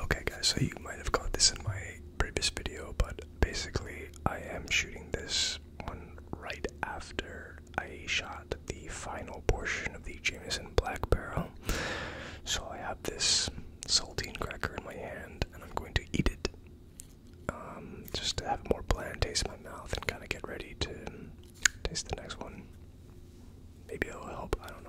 Okay, guys, so you might have caught this in my previous video, but basically, I am shooting this one right after I shot the final portion of the Jameson Black Barrel. So I have this saltine cracker in my hand, and I'm going to eat it um, just to have a more bland taste in my mouth and kind of get ready to taste the next one. Maybe it'll help, I don't know.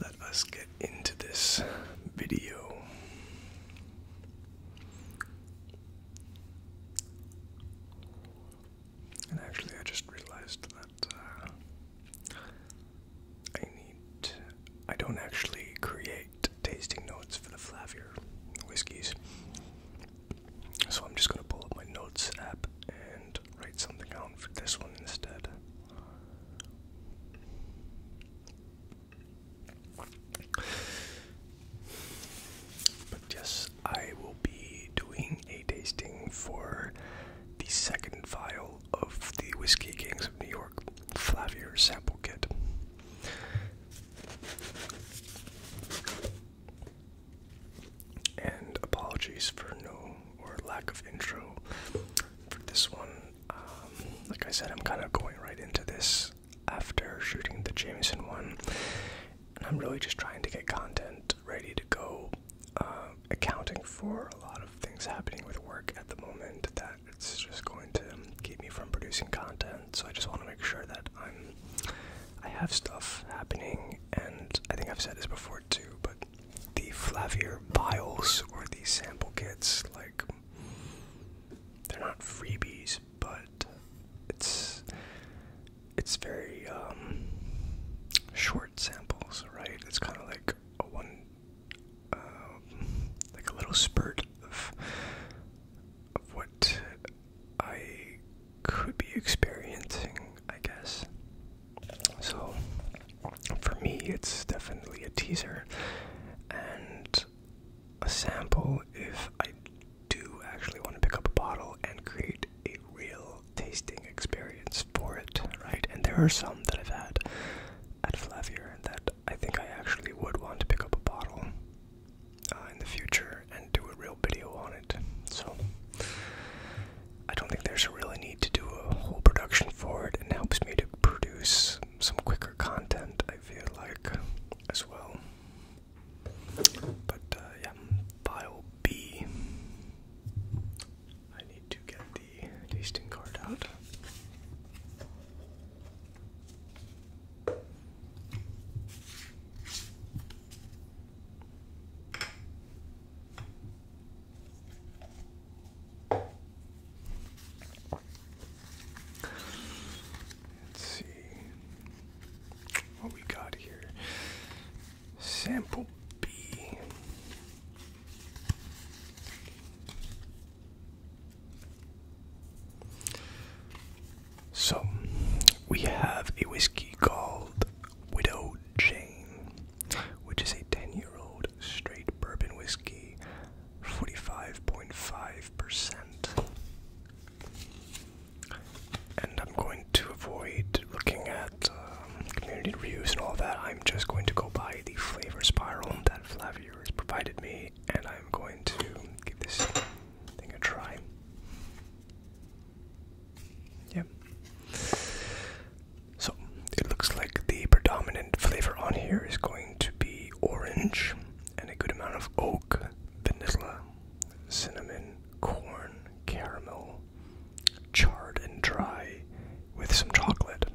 Let us get into this video. And actually, I just realized that uh, I need. I don't actually create tasting notes for the Flavier whiskeys. So I'm just going to pull up my notes app and write something down for this one instead. But yes, I will be doing a tasting for the second vial of the Whiskey Kings of New York Flavier sample kit. And apologies for no or lack of intro for this one. Um, like I said, I'm kind of going right into this after shooting the Jameson one, and I'm really just trying to get content ready to go, um, accounting for a lot of things happening with work at the moment that it's just going to keep me from producing content. So I just want to make sure that I'm I have stuff happening, and I think I've said this before part but the Flavier vials or the sample kits, like they're not freebies, but it's it's very um, short samples, right? It's kind of like a one, um, like a little spurt of of what I could be experiencing, I guess. So for me, it's definitely a teaser and a sample if I do actually want to pick up a bottle and create a real tasting experience for it, right? And there are some that I've had at Flavier that I think I actually would want to pick up a bottle uh, in the future and do a real video on it. So I don't think there's a really need to do a whole production for it, and helps me to produce some quicker content. I feel like as well. But uh, yeah, file B. I need to get the tasting card out. Let's see what we got here. Sample B. So we have a whiskey called Widow Jane which is a 10 year old straight bourbon whiskey, 45.5%. And I'm going to avoid looking at um, community reviews and all that. I'm just going to go by the flavor spiral that Flavier has provided me, and I'm going to give this thing a try. Yep. So it looks like the predominant flavor on here is going to be orange and a good amount of oak, vanilla, cinnamon, corn, caramel, charred and dry with some chocolate.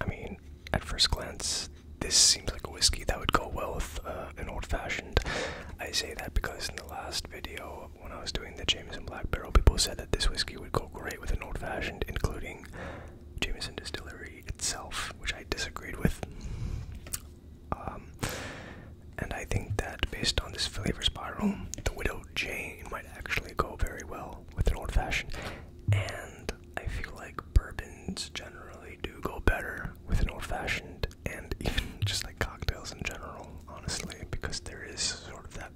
I mean, at first glance, this seems like a whiskey that would go well with uh, an old fashioned. I say that because in the last video when I was doing the Jameson Black Barrel, people said that this whiskey would go great with an old fashioned, including Jameson Distillery itself, which I disagreed with. Um, and I think that based on this flavor spiral, the Widow Jane might actually go very well with an old fashioned. And I feel like bourbons generally do go better with an old fashioned and even just like cocktails in general, honestly, because there is sort of that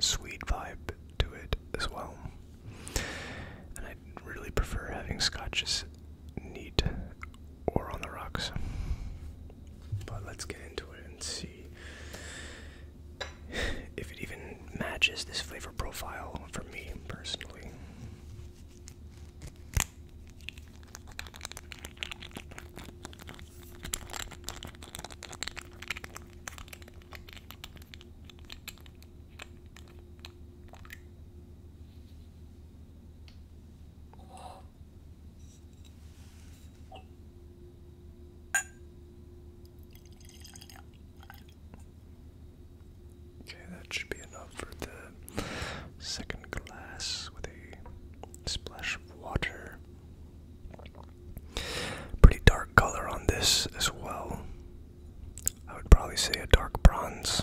sweet vibe to it as well. And I really prefer having scotches neat or on the rocks. But let's get into it and see if it even matches this flavor profile for me personally. Okay, that should be enough for the second glass with a splash of water. Pretty dark color on this as well. I would probably say a dark bronze.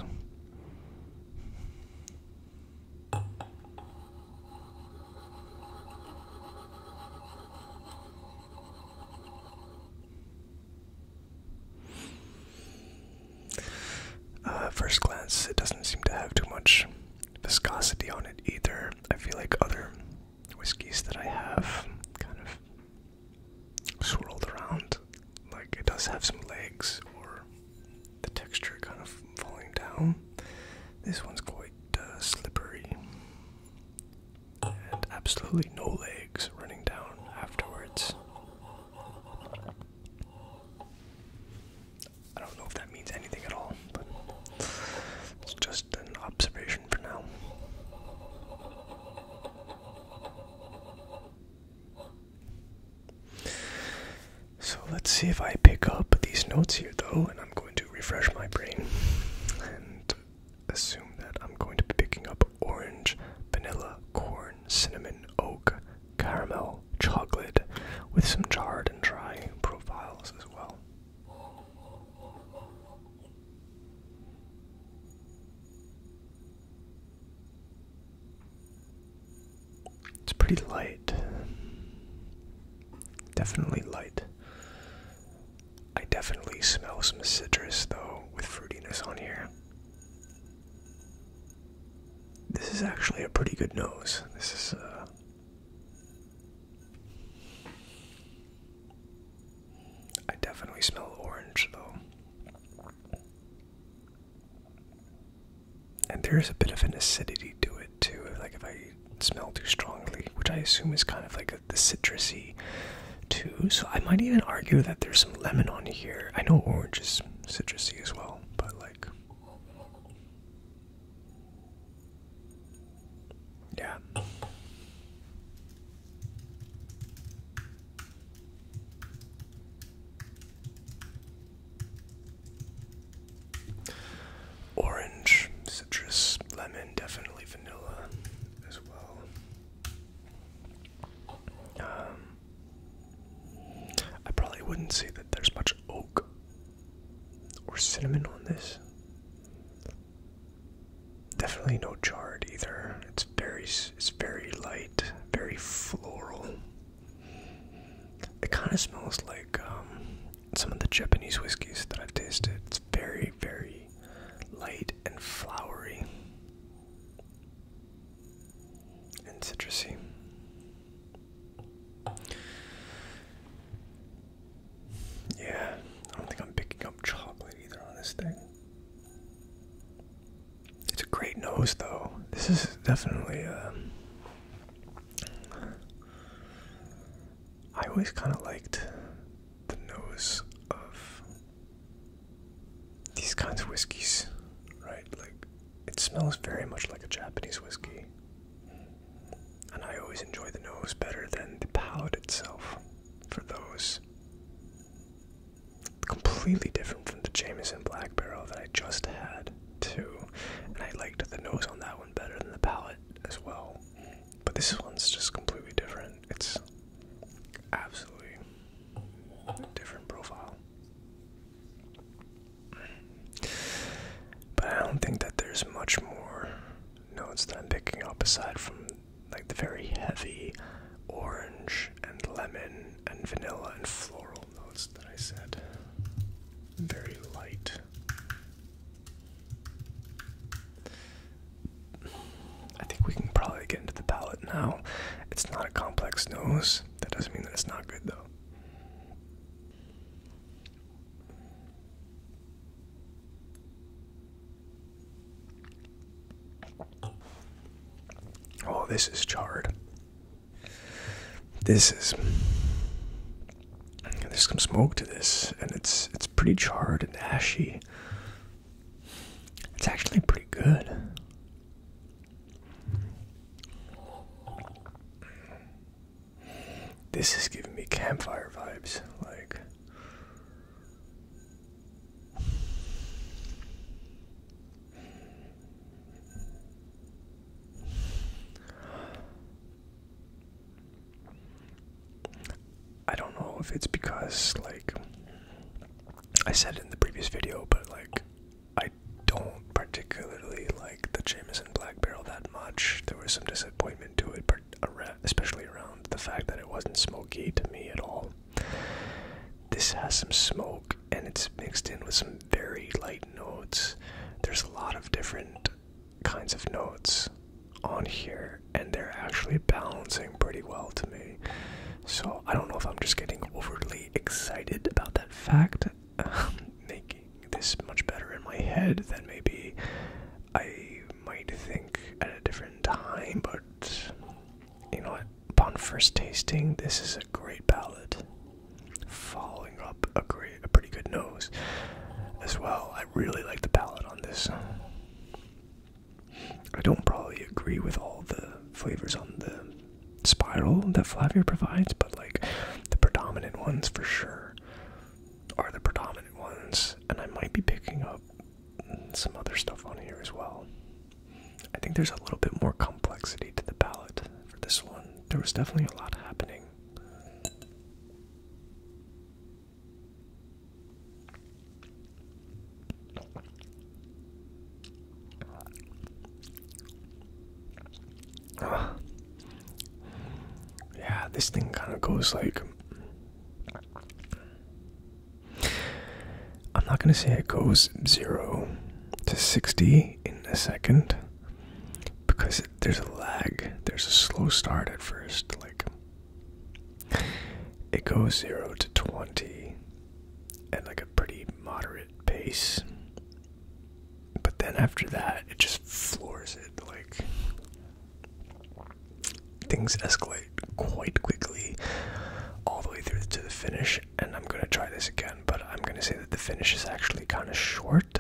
Uh, first glance, it doesn't seem to have too much viscosity on it either. I feel like other whiskeys that I have kind of swirled around. Like it does have some legs or the texture kind of falling down. This one's quite uh, slippery and absolutely no legs running down afterwards. I don't know if that means anything at all, but it's just an observation for now. So let's see if I pick up these notes here though, and I'm going to refresh my brain and assume that I'm going to be picking up orange, vanilla, corn, cinnamon, oak, caramel chocolate with some charred and dry profiles as well. It's pretty light. Definitely light. I definitely smell some citrus though with fruitiness on here. This is actually a pretty good nose. This is uh, I definitely smell orange though. And there is a bit of an acidity to it too, like if I smell too strongly, which I assume is kind of like the citrusy too. So I might even argue that there's some lemon on here. I know orange is citrusy as well, but like yeah. Orange, citrus, lemon, definitely vanilla as well. Um, I probably wouldn't say that there's much oak or cinnamon on this. Definitely no charred either. It's very it's very light, very floral. It kind of smells like um, some of the Japanese whiskeys that I've tasted. It's very very light and flowery and citrusy. Yeah, I don't think I'm picking up chocolate either on this thing. It's a great nose, though. This is definitely um, I always kind of liked the nose of these kinds of whiskeys, right? Like, it smells very much like a Japanese whiskey. And I always enjoy the nose better than the palate itself for those. Completely different from the Jameson Black Barrel that I just had, too. And I liked the nose on that one better than the palate as well. But this one's just completely different. It's absolutely different profile. But I don't think that there's much more notes that I'm picking up aside from like the very heavy orange and lemon and vanilla and floral notes that I said. Very light. I think we can probably get into the palette now. It's not a complex nose, that doesn't mean that it's not good, though. Oh, this is charred. This is there's some smoke to this, and it's it's pretty charred and ashy. It's actually pretty good. This is giving me campfire vibes, like. I don't know if it's because like I said it in the previous video, but like I don't particularly like the Jameson Black Barrel that much. There was some disappointment to it, but especially around the fact that it wasn't smoky to me at all. This has some smoke and it's mixed in with some very light notes. There's a lot of different kinds of notes on here, and they're actually balancing pretty well to me. So I don't know if I'm just getting overly excited about that fact, um, making this much better in my head than maybe I might think at a different time. But you know what? Upon first tasting, this is a great palate. Following up a great, a pretty good nose as well. I really like the palate on this. I don't probably agree with all the flavors on the spiral that Flavia provides, but like the predominant ones for sure are the predominant ones, and I might be picking up some other stuff on here as well. I think there's a little bit more complexity to the palette for this one. There was definitely a lot happening. Yeah, this thing kind of goes like. I'm not going to say it goes 0 to 60 in a second because there's a lag. There's a slow start at first. Like, it goes 0 to 20 at like a pretty moderate pace. But then after that, it just floors it. Like, things escalate quite quickly all the way through to the finish. And I'm going to try this again, but I'm going to say that the finish is actually kind of short.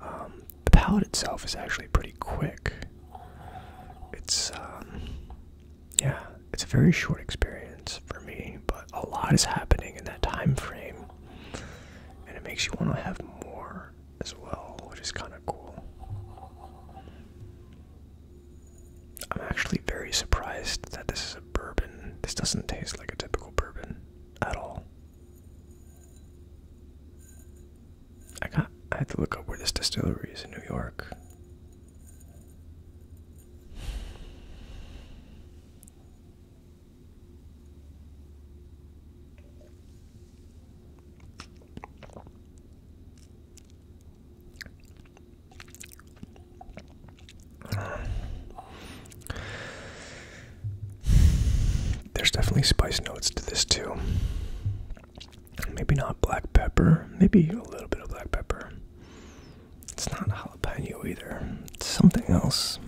Um, the palette itself is actually pretty quick. It's, um, yeah, it's a very short experience for me, but a lot is happening in that time frame, and it makes you want to have more as well, which is kind of cool. I'm actually very surprised that this is a bourbon. This doesn't taste like a typical bourbon at all. I got I had to look up where this distillery is in New York. There's definitely spice notes to this too. Maybe not black pepper. Maybe a little bit of black pepper. It's not jalapeno either. It's something else.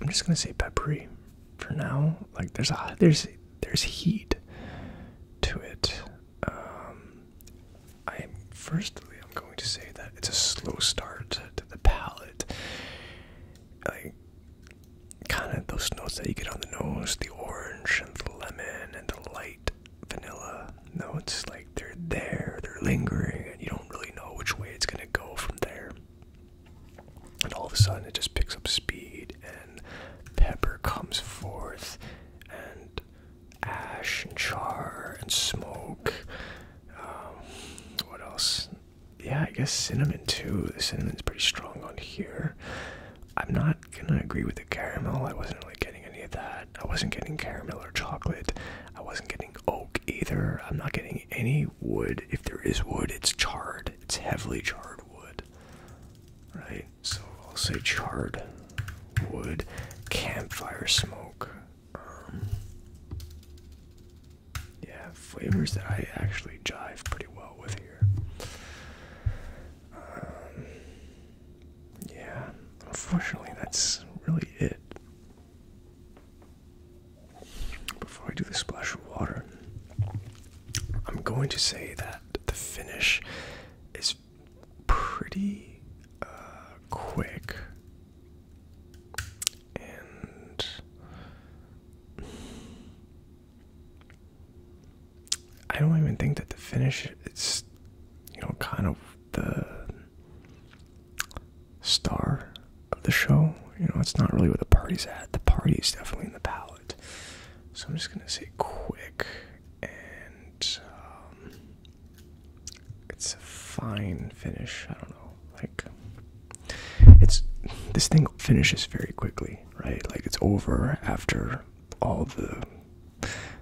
I'm just gonna say peppery for now. Like there's a there's there's heat to it. Um, I firstly I'm going to say that it's a slow start to the palate. Like kind of those notes that you get on the nose the orange and the lemon and the light vanilla notes like they're there they're lingering and you don't really know which way it's going to go from there and all of a sudden it just picks up speed and pepper comes forth and ash and char and smoke um, what else yeah i guess cinnamon too the cinnamon's pretty strong on here I'm not gonna agree with the caramel. I wasn't really getting any of that. I wasn't getting caramel or chocolate. I wasn't getting oak either. I'm not getting any wood. If there is wood, it's charred. It's heavily charred wood. Right? So I'll say charred wood, campfire smoke. Um, yeah, flavors that I actually jive pretty well with um, yeah, unfortunately, that's really it. Before I do the splash of water, I'm going to say that the finish is pretty uh, quick and I don't even think that the finish is, you know kind of the star of the show. You know, it's not really where the party's at. The party is definitely in the palette. So I'm just gonna say quick and um, it's a fine finish. I don't know. Like it's this thing finishes very quickly right? Like it's over after all the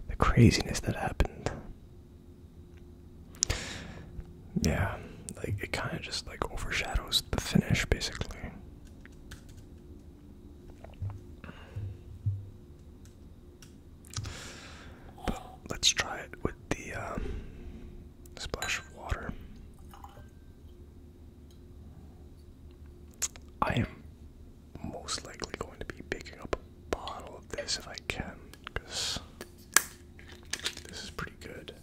the craziness that happened. Yeah, like it kind of just like overshadows the finish basically. But let's try it with the um, splash of water. I am most likely going to be picking up a bottle of this if I can, because this is pretty good.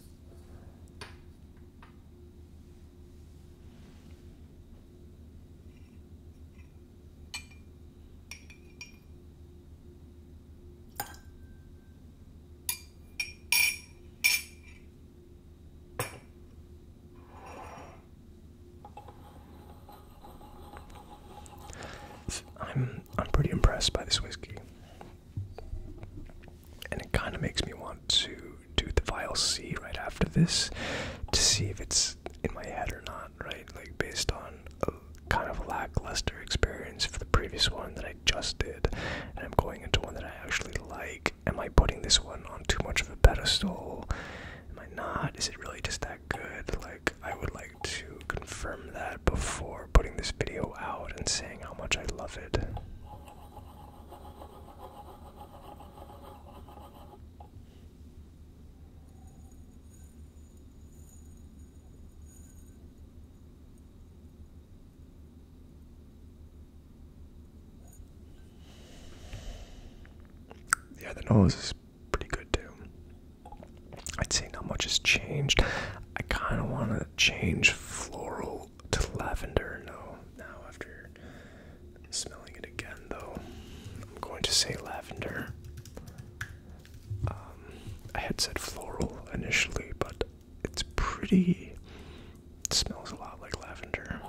I'm I'm pretty impressed by this whiskey. And it kind of makes me want to do the vial C right after this to see if it's in my head or not, right? Like based on a kind of lackluster experience for the previous one that I just did, and I'm going into one that I actually like am I putting this one on too much of a pedestal? Am I not? Is it really just that good? Like, I would like to confirm that before putting this video out and saying how much I love it. Yeah, the nose is pretty good too. I'd say not much has changed. I kind of want to change floral to lavender No, Now after smelling it again, though, I'm going to say lavender. Um, I had said floral initially, but it's pretty. smells a lot like lavender.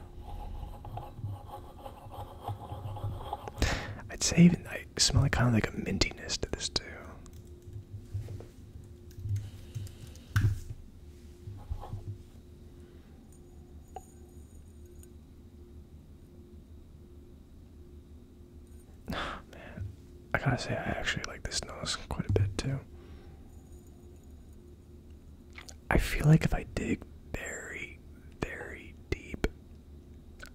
I'd say even I smell like kind of like a mintiness to this too. man, I gotta say I actually like this nose quite a bit too. I feel like if I dig very, very deep,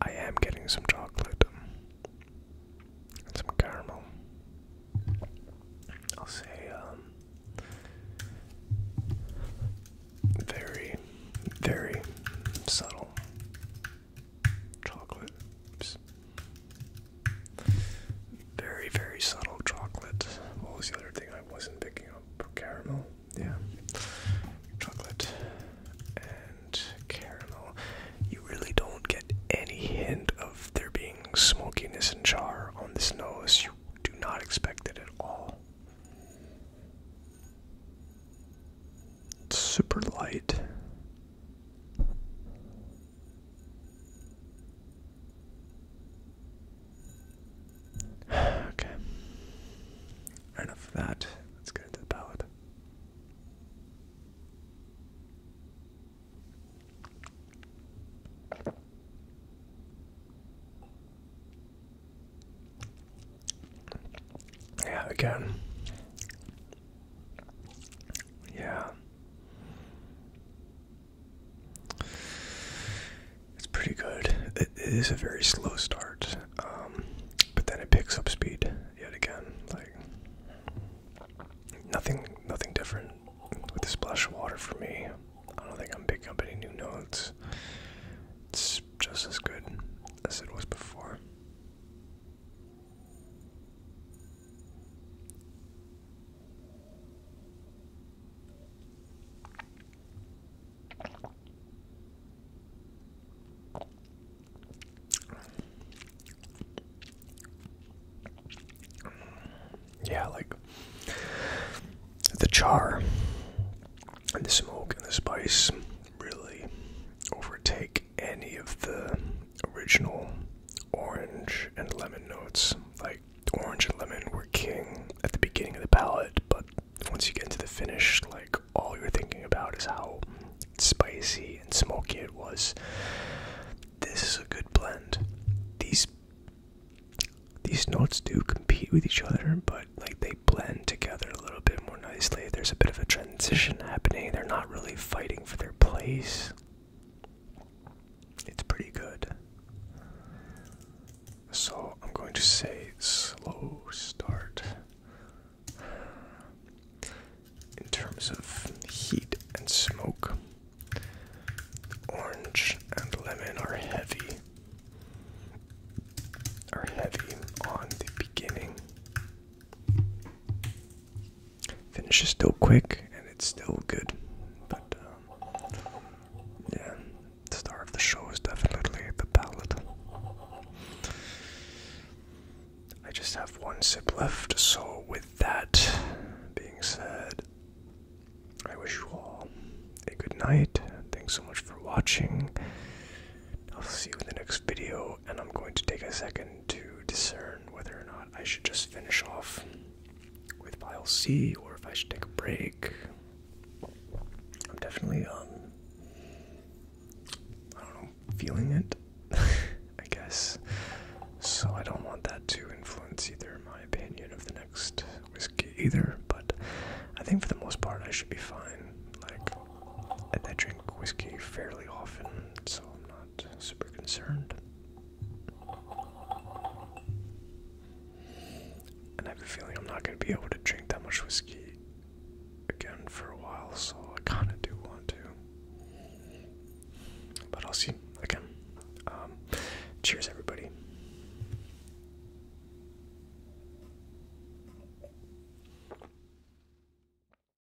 I am getting some chocolate and some caramel. I'll say, um, very, very subtle chocolate. Very, very subtle chocolate. What was the other thing I wasn't picking up? Caramel. Yeah. Chocolate and caramel. You really don't get any hint of there being smokiness and char on this nose. You do not expect it at all. It's super light. okay. Enough of that. Let's go to the ballad. Yeah, again. Yeah. It's pretty good. It is a very slow start, um, but then it picks up speed yet again. Like nothing, nothing different with the splash of water for me. I don't think I'm picking up any new notes. It's just as good as it was before. Yeah, like the char and the smoke and the spice really overtake any of the original orange and lemon notes. Like orange and lemon were king at the beginning of the palette, but once you get into the finish, like all you're thinking about is how spicy and smoky it was. This is a good blend. These these notes do compete with each other, but like they blend together a little bit more nicely. There's a bit of a transition happening. They're not really fighting for their place. It's pretty good. So I'm going to say slow start. In terms of heat and smoke, orange and lemon are heavy. Are heavy on the beginning. Finish is still quick and it's still good, but um, yeah, the star of the show is definitely the palette. I just have one sip left, so with that being said, I wish you all a good night. Thanks so much for watching. I'll see you in the next video, and I'm going to take a second to discern whether or not. I should just finish off with pile C or if I should take a break. I'm definitely um, I don't know, feeling it, I guess. So I don't want that to influence either my opinion of the next whiskey either, but I think for the most part I should be fine. Like I drink whiskey fairly often, so I'm not super concerned. And I have a feeling I'm not going to be able to drink that much whiskey again for a while, so I kind of do want to. But I'll see again. Um, cheers, everybody.